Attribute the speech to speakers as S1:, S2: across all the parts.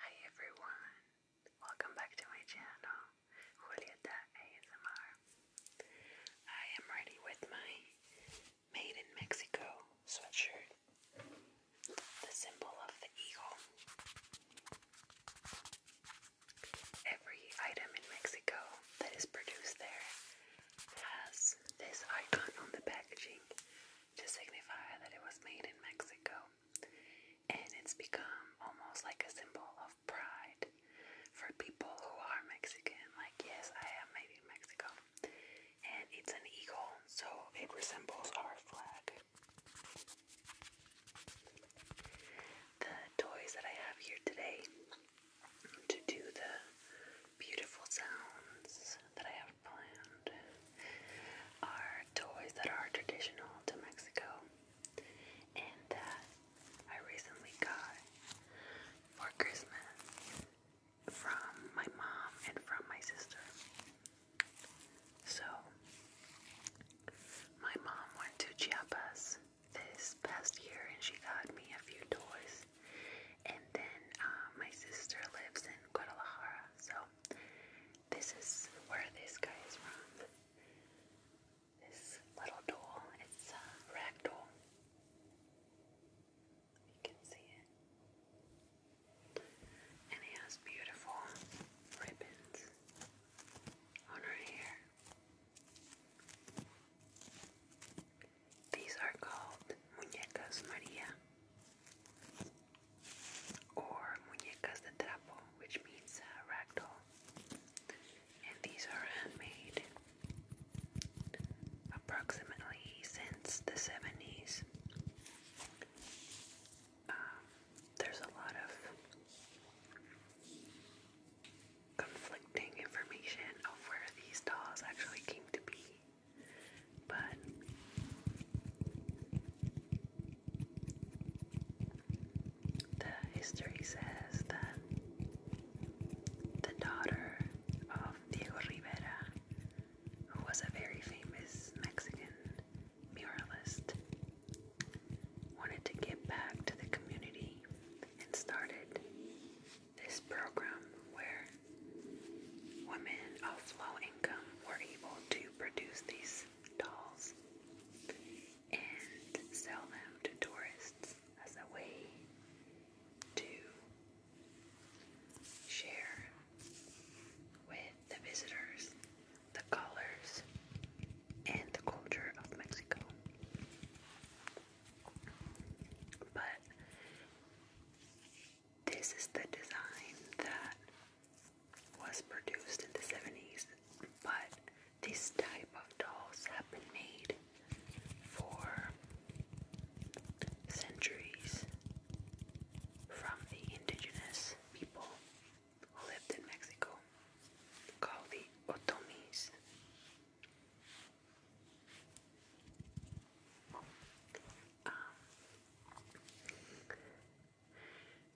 S1: Hi everyone, welcome back to my channel, Julieta ASMR. I am ready with my Made in Mexico sweatshirt, the symbol of the eagle. Every item in Mexico that is produced there has this icon on the packaging to signify that it was made in Mexico. And it's become almost like a symbol of pride for people who are Mexican. Like, yes, I am made in Mexico. And it's an eagle, so it resembles our flag. The toys that I have here today to do the beautiful sounds that I have planned are toys that are traditional to Mexico and that uh, I recently got for Christmas from my mom and from my sister. So, my mom went to Chiapas this past year and she got me a few toys and then uh, my sister lives in Guadalajara, so this is where this guy is from. This little doll, it's a ragdoll. You can see it. And he has beautiful ribbons on her hair. These are called muñecas Maria or muñecas de trapo, which means uh, rag doll. And these are handmade approximately since the 70s. Um, there's a lot of conflicting information of where these dolls actually came to be. But the history says that the daughter of Diego Rivera, who was a very famous Mexican muralist, wanted to give back to the community and started this program where women of low income were able to produce these dolls and sell them to tourists as a way to share with the visitors the colors and the culture of Mexico. But this is the design that was produced in the 70s, but this type of dolls have been made for centuries from the indigenous people who lived in Mexico called the Otomis. Um,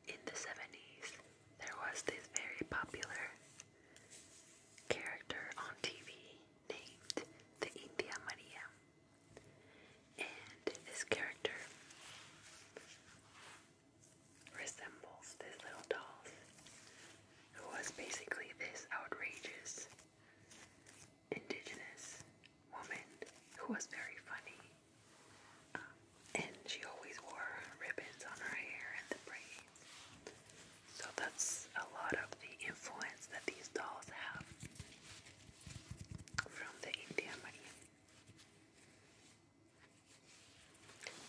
S1: in the 70s, there was this very popular character on TV named the India Maria. And this character resembles this little doll, who was basically this outrageous indigenous woman who was very funny. Um, and she always wore ribbons on her hair and the braids. So that's a lot of the influence that these dolls have from the India Maria.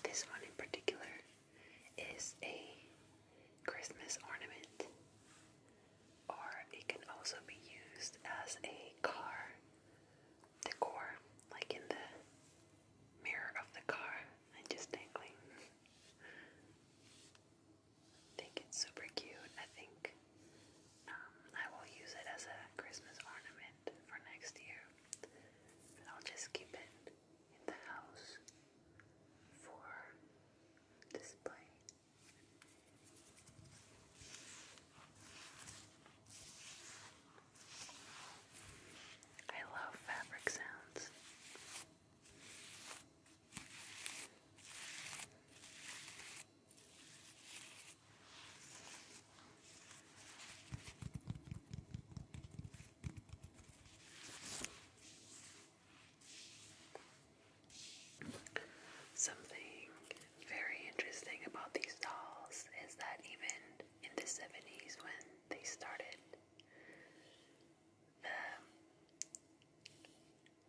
S1: This one in particular is a Christmas ornament or it can also be used as a car decor, like in the mirror of the car and just dangling. I think it's super cute. I think um, I will use it as a Christmas ornament for next year. But I'll just keep it in the house for display. I love fabric sounds. Something very interesting about these dolls is that even in the 70s when they started,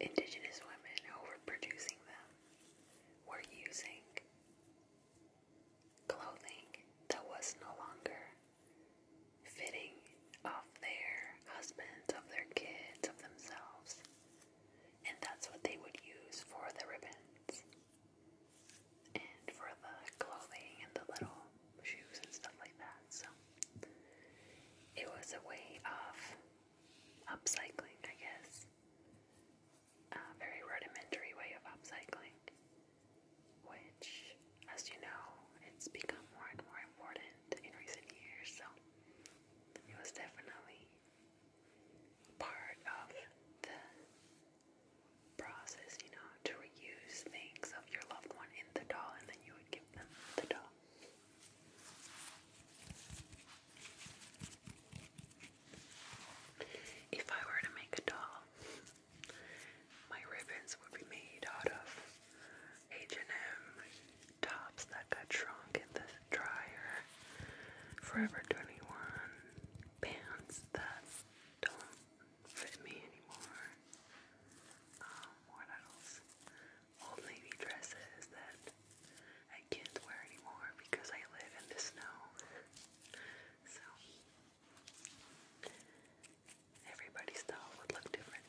S1: indigenous women who were producing them were using clothing that was no longer fitting of their husbands, of their kids, of themselves. And that's what they would use for the ribbons and for the clothing and the little shoes and stuff like that. So it was a way of upcycling, I guess. A very rudimentary way of upcycling, which, as you know, it's become more and more important in recent years. So it was definitely part of the process, you know, to reuse things of your loved one in the doll and then you would give them the doll. If I were to make a doll, my ribbons would be made out of H&M tops that got shrunk in the dryer. Forever 21 pants that don't fit me anymore. Um, what Old Navy dresses that I can't wear anymore because I live in the snow. so, everybody's style would look different.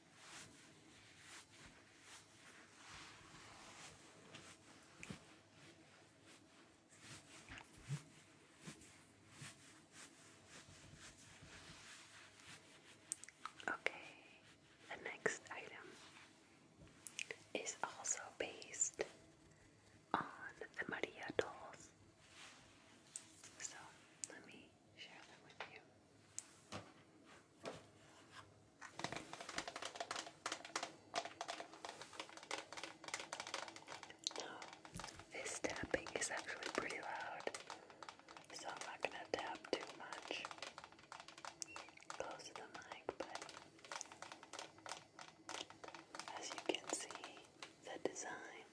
S1: Okay, the next item is also based on the Maria dolls. So let me share them with you. This tapping is actually pretty loud, so I'm not gonna tap too much close to the mic, but as you can see, the design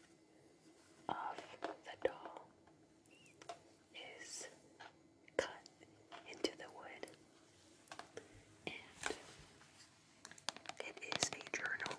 S1: of the doll is cut into the wood, and it is a journal.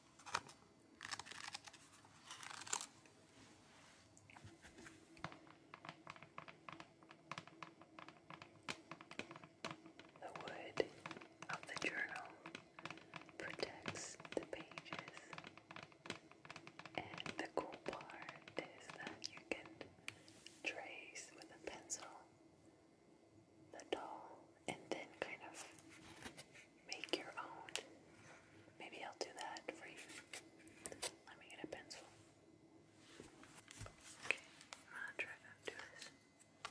S1: The wood of the journal protects the pages, and the cool part is that you can trace with a pencil the doll and then kind of make your own. Maybe I'll do that for you. Let me get a pencil. Okay, I'm gonna try to do this. Okay,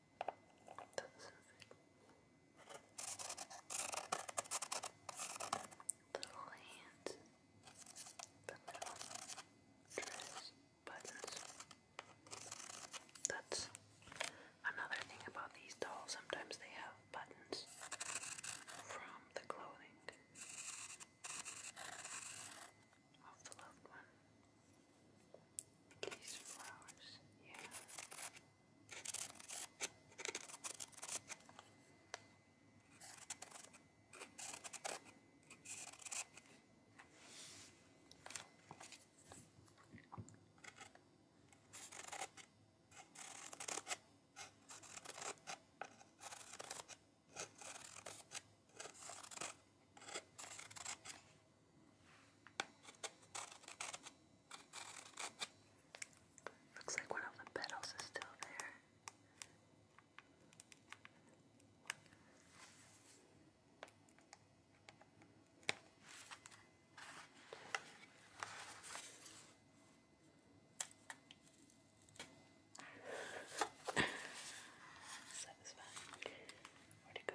S1: little hands, the little dress buttons. That's another thing about these dolls. Sometimes they have buttons from the clothing of the loved these flowers, yeah. Looks like one of the petals is still there. Satisfying. Where'd it go?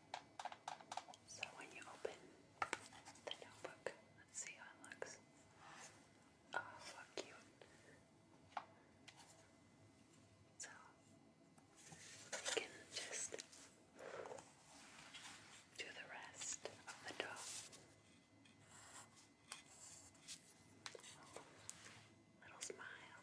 S1: So when you open the notebook, let's see how it looks. Oh, how cute. So we can just do the rest of the doll. Little smile.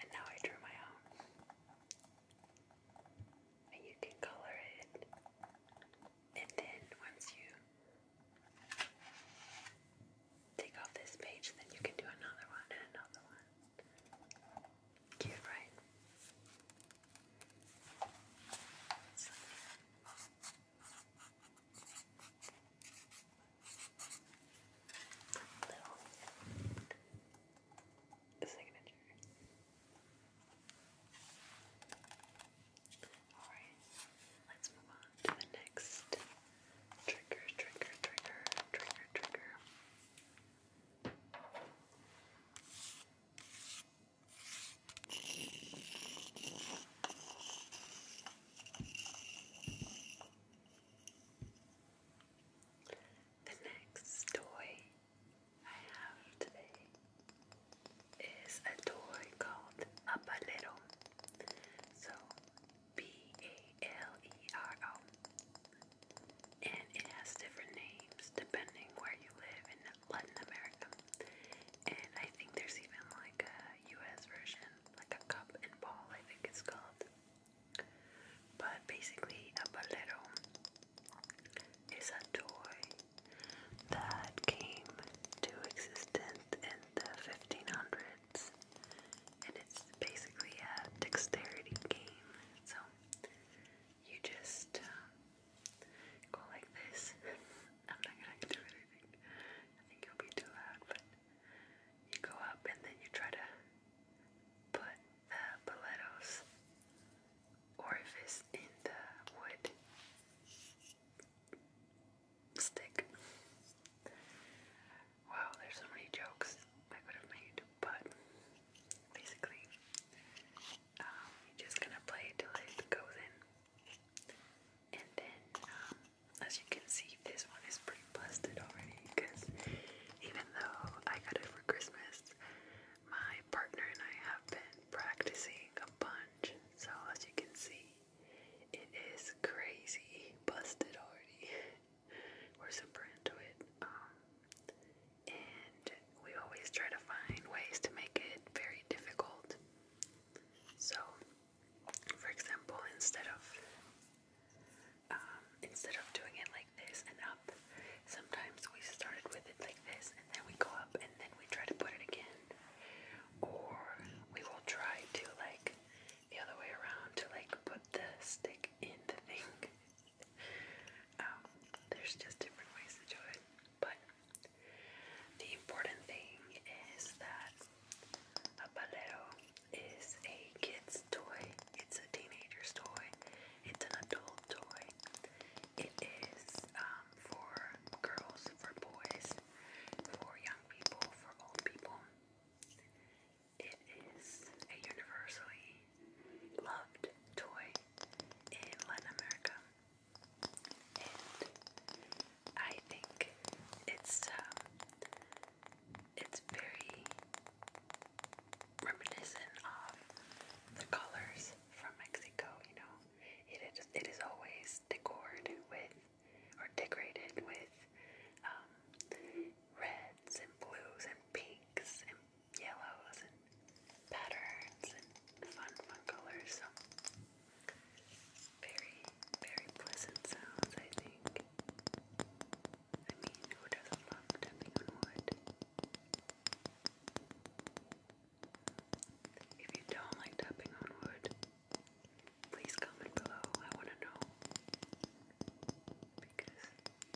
S1: And now I drew my own. And you can color it. And then once you take off this page, then you can do another one and another one. Cute, right? Little signature. Alright, let's move on to the next trigger, trigger, trigger, trigger, trigger. The next toy I have today is a toy called a palero. So B A L E R O. And it has different names depending where you live in Latin America. And I think there's even like a US version, like a cup and ball, I think it's called. But basically, a bolero is a toy that came to existence in the 1500s. And it's basically a dexterity game. So you just um, Go like this. I'm not gonna do anything. I think it'll be too loud, but you go up and then you try to put the Paletto's orifice in the wood stick. Wow, there's so many jokes I could have made, but basically, um, you're just gonna play till it goes in. And then, um, as you can see, this one is pretty busted already because even though I got it for Christmas, my partner and I have been practicing a bunch. So, as you can see, it is crazy busted already. We're super into it. Um, and we always try to find ways to make it very difficult so, for example, instead of um, instead of doing it like this and up, sometimes we started with it like this and then we go up and then we try to put it again, or we will try to like the other way around to like put the stick in the thing. Um, there's just different ways to do it. But the important thing is that a palero is a kid's toy, it's a teenager's toy, it's an adult toy, it is um, for girls, for boys, for young people, for old people. It is a universally loved toy in Latin America and I think it's um, it's very reminiscent of the colors from Mexico. You know, it is it is always decored with or decorated with um, reds and blues and pinks and yellows and patterns and fun fun colors. So very, very pleasant sounds, I think. I mean, who doesn't love tapping on wood? If you don't like tapping on wood, please comment below. I want to know. Because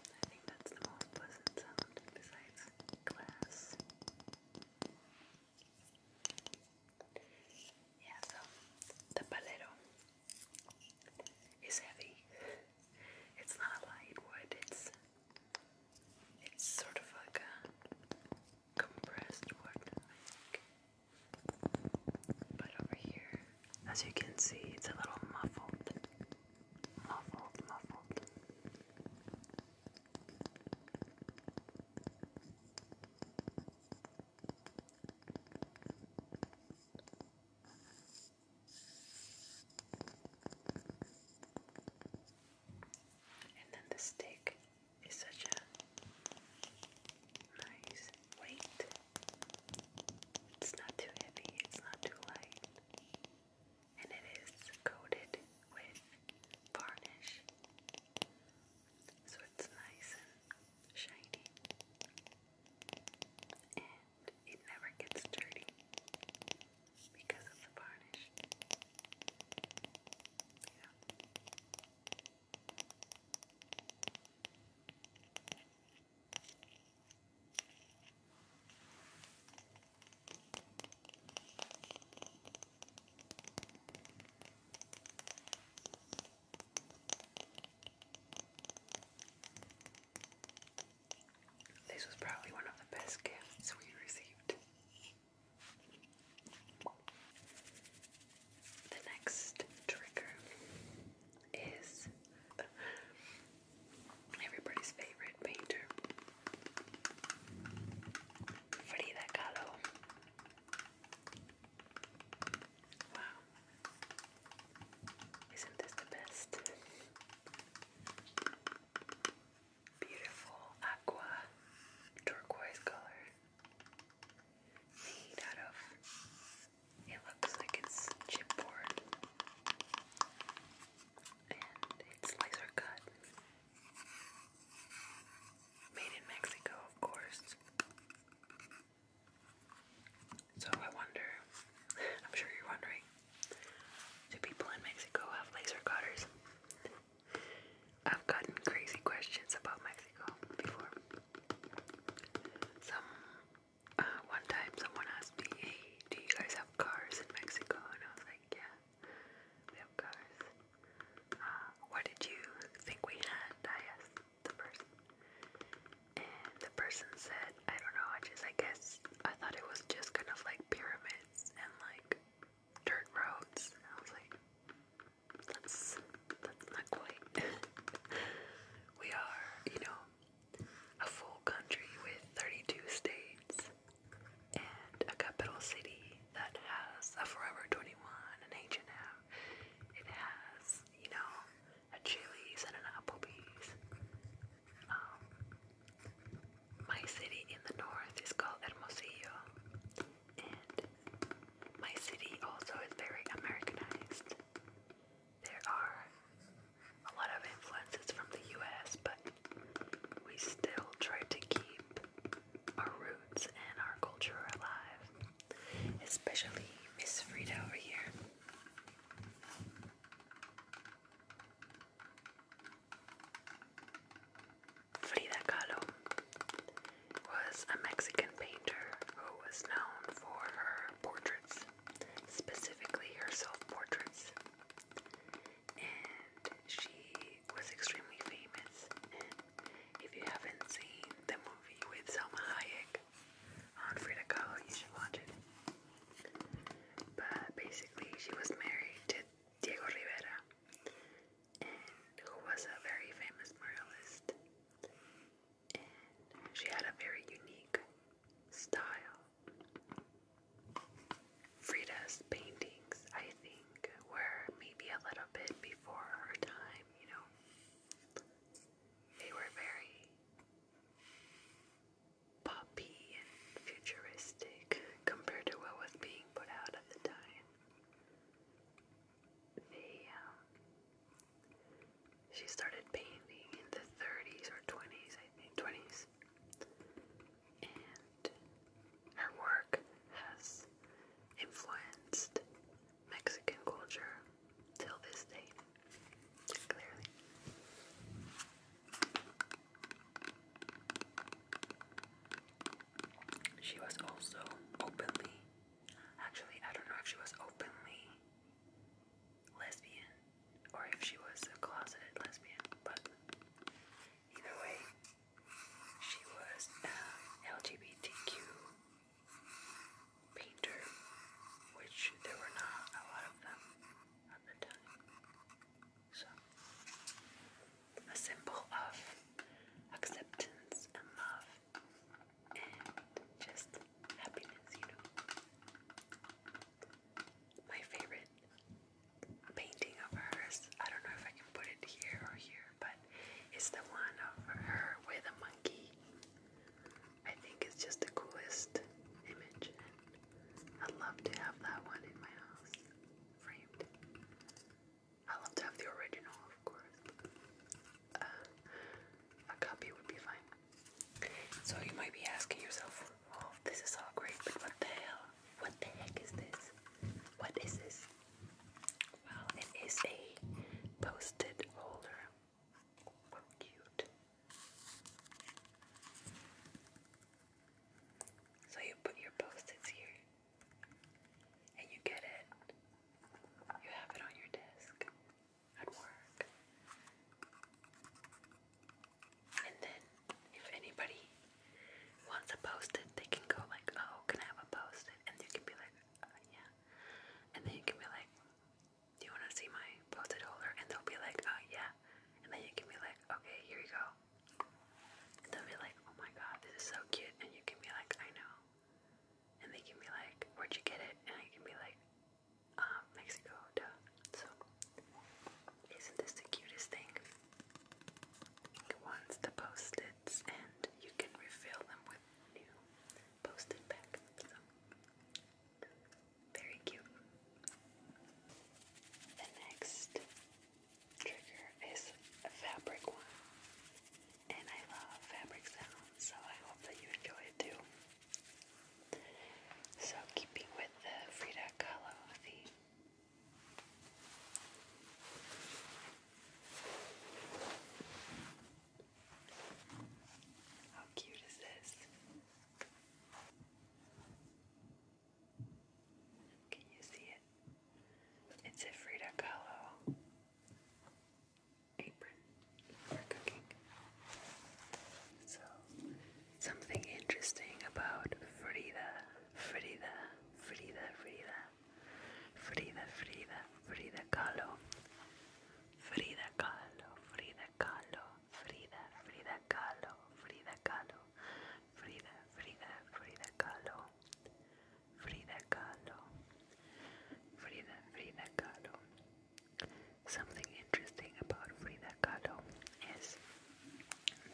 S1: I think that's the most pleasant sound besides glass. Yeah, the, the palero is heavy. It's not a light it's it's sort of like a compressed wood, I think. But over here, as you can see, it's a little muffled. Muffled, muffled. And then the stick is such a nice weight. It's not too heavy, it's not too light. And it is coated with varnish so it's nice and shiny and it never gets dirty because of the varnish. Yeah. This was probably one of the best gifts we received. The next trigger is everybody's favorite painter. Frida Kahlo. Wow. Isn't this the best? Beautiful aqua turquoise color. Made out of it looks like it's chipboard. And it's laser cut. Made in Mexico, of course. So I wonder, I'm sure you're wondering, do people in Mexico have laser cutters? I've gotten crazy questions about Mexico before. Some, uh, one time someone asked me, hey, do you guys have cars in Mexico? And I was like, yeah. We have uh, what did you think we had? I asked the person. And the person said, I don't know, I just, I guess, I thought it was just kind of like pyramids and like dirt roads. I was like, that's, that's not quite. we are, you know, a full country with 32 states and a capital city that has a Forever 21, and H&M. It has, you know, a Chili's and an Applebee's. Um, my city in the north is called Hermosillo, and my city also is very Americanized. There are a lot of influences from the US, but we still try to keep our roots and our culture are alive. Especially Miss Frida over here. Frida Kahlo was a Mexican painter who was known for her portraits, specifically her self-portraits. And she was extremely famous if you haven't seen the movie with Selma Hayek on Frida Kahlo, you should watch it. But basically, she was married to Diego Rivera, and who was a very famous muralist. And she had a very unique style. Frida's paintings, I think, think maybe a little bit before her time, you know. They were very poppy and futuristic compared to what was being put out at the time. Um, she started painting in the 30s or 20s, I think, 20s. And her work has influenced Mexican culture till this day, clearly. She was also openly, actually, I don't know if she was openly lesbian or if she was a closeted lesbian, but either way, she was an LGBTQ painter, which there were not a lot of at the time. So, a symbol of acceptance and love and just happiness, you know. My favorite painting of hers, I don't know if I can put it here or here, but it's the one of her with a monkey. I think it's just the coolest image. I'd love to have that one in my house, framed. I love to have the original, of course. Uh, a copy would be fine. So you might be asking yourself, "Oh, this is all great, but what the hell? What the heck is this? What is this?" Well, it is a post-it holder. Oh, cute. So you put your post-its here, and you get it. You have it on your desk at work. And then, if anybody once a post-it, they can go like, oh, can I have a post-it? And you can be like, uh, yeah. And then you can be like, do you want to see my post-it holder? And they'll be like, oh, yeah. And then you can be like, okay, here you go. And they'll be like, oh my god, this is so cute. And you can be like, I know. And they can be like, where'd you get it? And I can be like, um, Mexico, duh. So, isn't this the cutest thing? once the post-its you can refill them with new post-it So, very cute. The next trigger is a fabric one, and I love fabric sounds, so I hope that you enjoy it too. So, keeping with the Frida Kahlo theme, how cute is this? Can you see it? It's a Frida Kahlo apron for cooking. So, something interesting about Frida, Frida, Frida, Frida Frida, Frida, Frida Kahlo, Frida Kahlo, Frida Kahlo, Frida, Frida Kahlo, Frida Kahlo, Frida, Frida, Frida Kahlo, Frida Kahlo, Frida, Frida Kahlo. Something interesting about Frida Kahlo is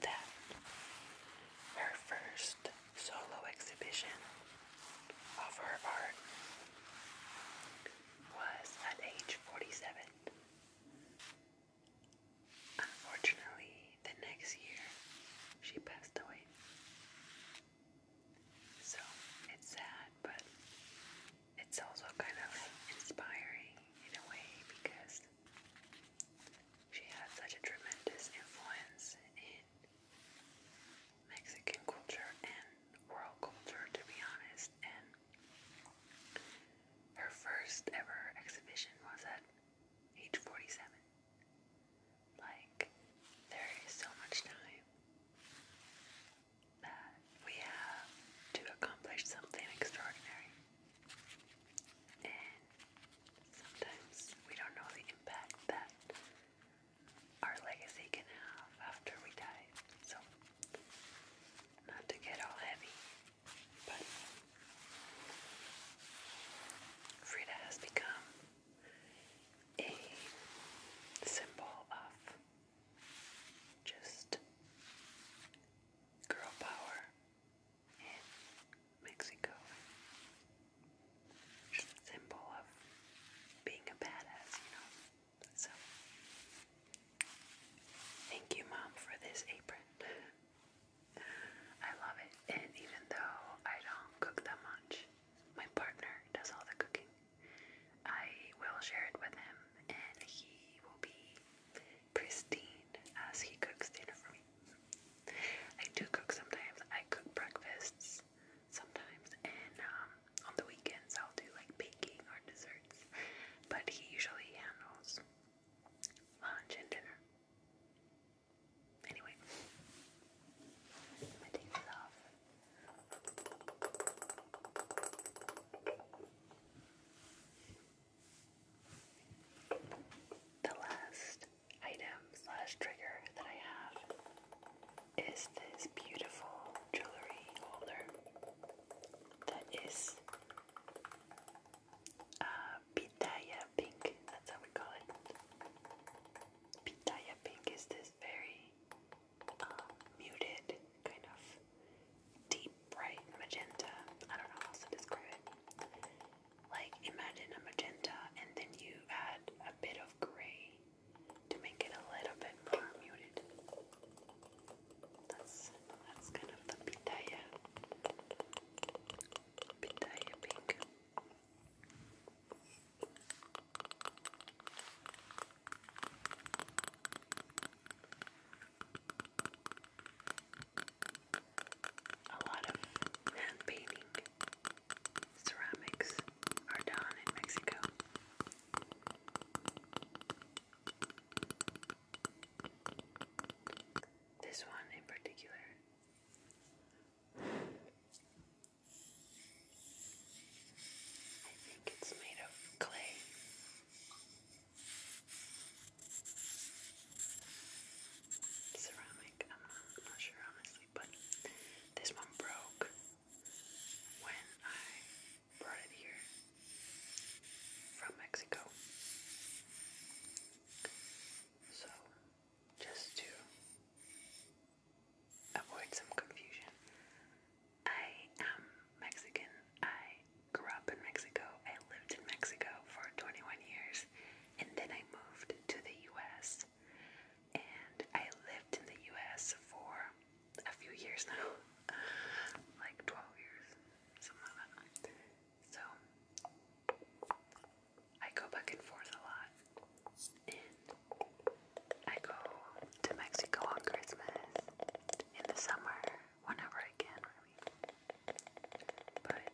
S1: that her first solo exhibition of her art was at age 47. Unfortunately, the next year she passed away. So it's sad, but it's also kind of inspiring in a way because she had such a tremendous influence in Mexican culture and world culture, to be honest. And her first ever exhibition was at age 47. Like, there is so much time that we have to accomplish something extraordinary sometimes we don't know the impact that our legacy can have after we die. So, not to get all heavy, but Frida has become a symbol of just girl power in Mexico. It's a symbol of being a badass, you know. So, thank you, Mom, for this apron. I love it, and even though I don't cook that much, my partner does all the cooking. I will share it with him, and he will be pristine as he cooks dinner for me. I do cook sometimes. I cook breakfasts sometimes, and um, on the weekends I'll do like baking or desserts. But he usually handles lunch and dinner. Anyway, I take this off. The last item slash trigger that I have is this beautiful jewelry holder that is uh, pitaya pink. That's how we call it. Pitaya pink is this very uh, muted kind of deep bright magenta. I don't know how else to describe it. Like imagine a magenta and then you add a bit of gray to make it a little bit more muted. That's that's kind of the pitaya. Pitaya pink. A lot of hand painting ceramics are done in Mexico. This one in particular. I think it's made of clay ceramic. I'm not, sure honestly, but this one broke when I brought it here from Mexico. So, just to avoid some confusion, I am Mexican. I grew up in Mexico. I lived in Mexico for 21 years and then I moved to the US and I lived in the US for a few years now like 12 years, something like that. So I go back and forth a lot, and I go to Mexico on Christmas in the summer whenever I can, But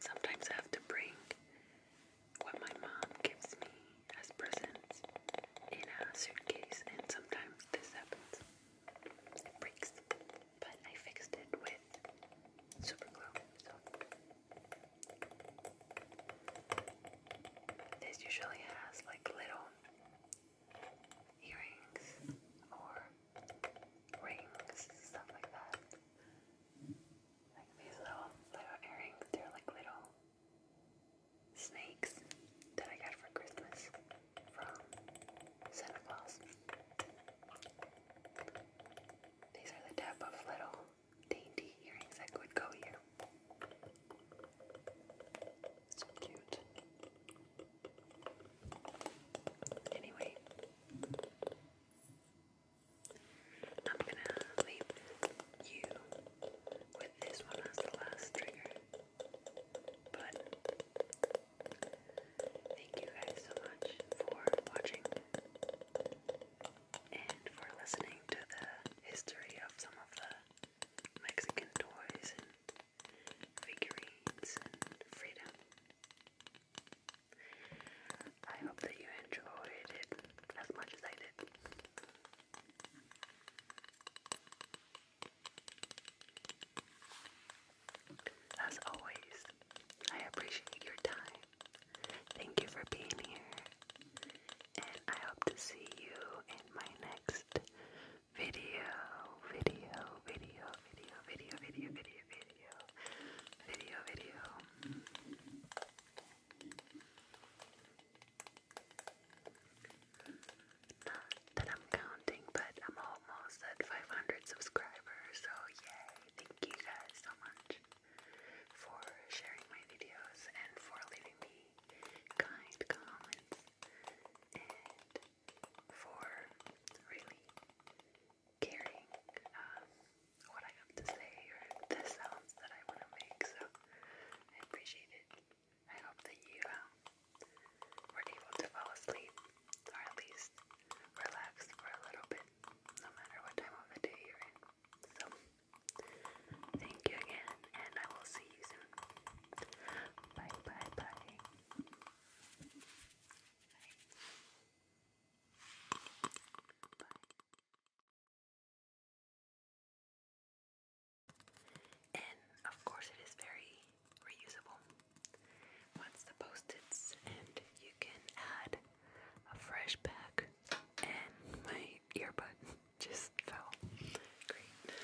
S1: Sometimes I have to bring what my mom gives me as presents in a suitcase, and sometimes this happens. It breaks, but I fixed it with super So this usually has like little earrings or rings, stuff like that. Like these little, little earrings. They're like little snakes that I got for Christmas from Santa Claus. These are the type of little dainty earrings that would go here. So cute. Anyway, I'm gonna leave you with this one as the last trigger. But thank you guys so much for watching and for listening to the history of some of the Mexican toys and figurines and freedom. I hope that you enjoyed it as much as I did. As always, I appreciate your time. Thank you for being here, and I hope to see you in my next video, video, video, video, video, video, video, video, video, video. Not that I'm counting, but I'm almost at 500 subscribers, so yay! Thank you guys so much for sharing my videos and for leaving me kind comments and for really carrying um, what I have to say or the sounds that I want to make, so I appreciate it. I hope that you um, able to fall asleep or at least relax for a little bit, no matter what time of the day you're in. So, thank you again, and I will see you soon. bye, bye. bye. And of course, it is very reusable. Once the post-its, and you can add a fresh pack. And my earbud just fell. Great.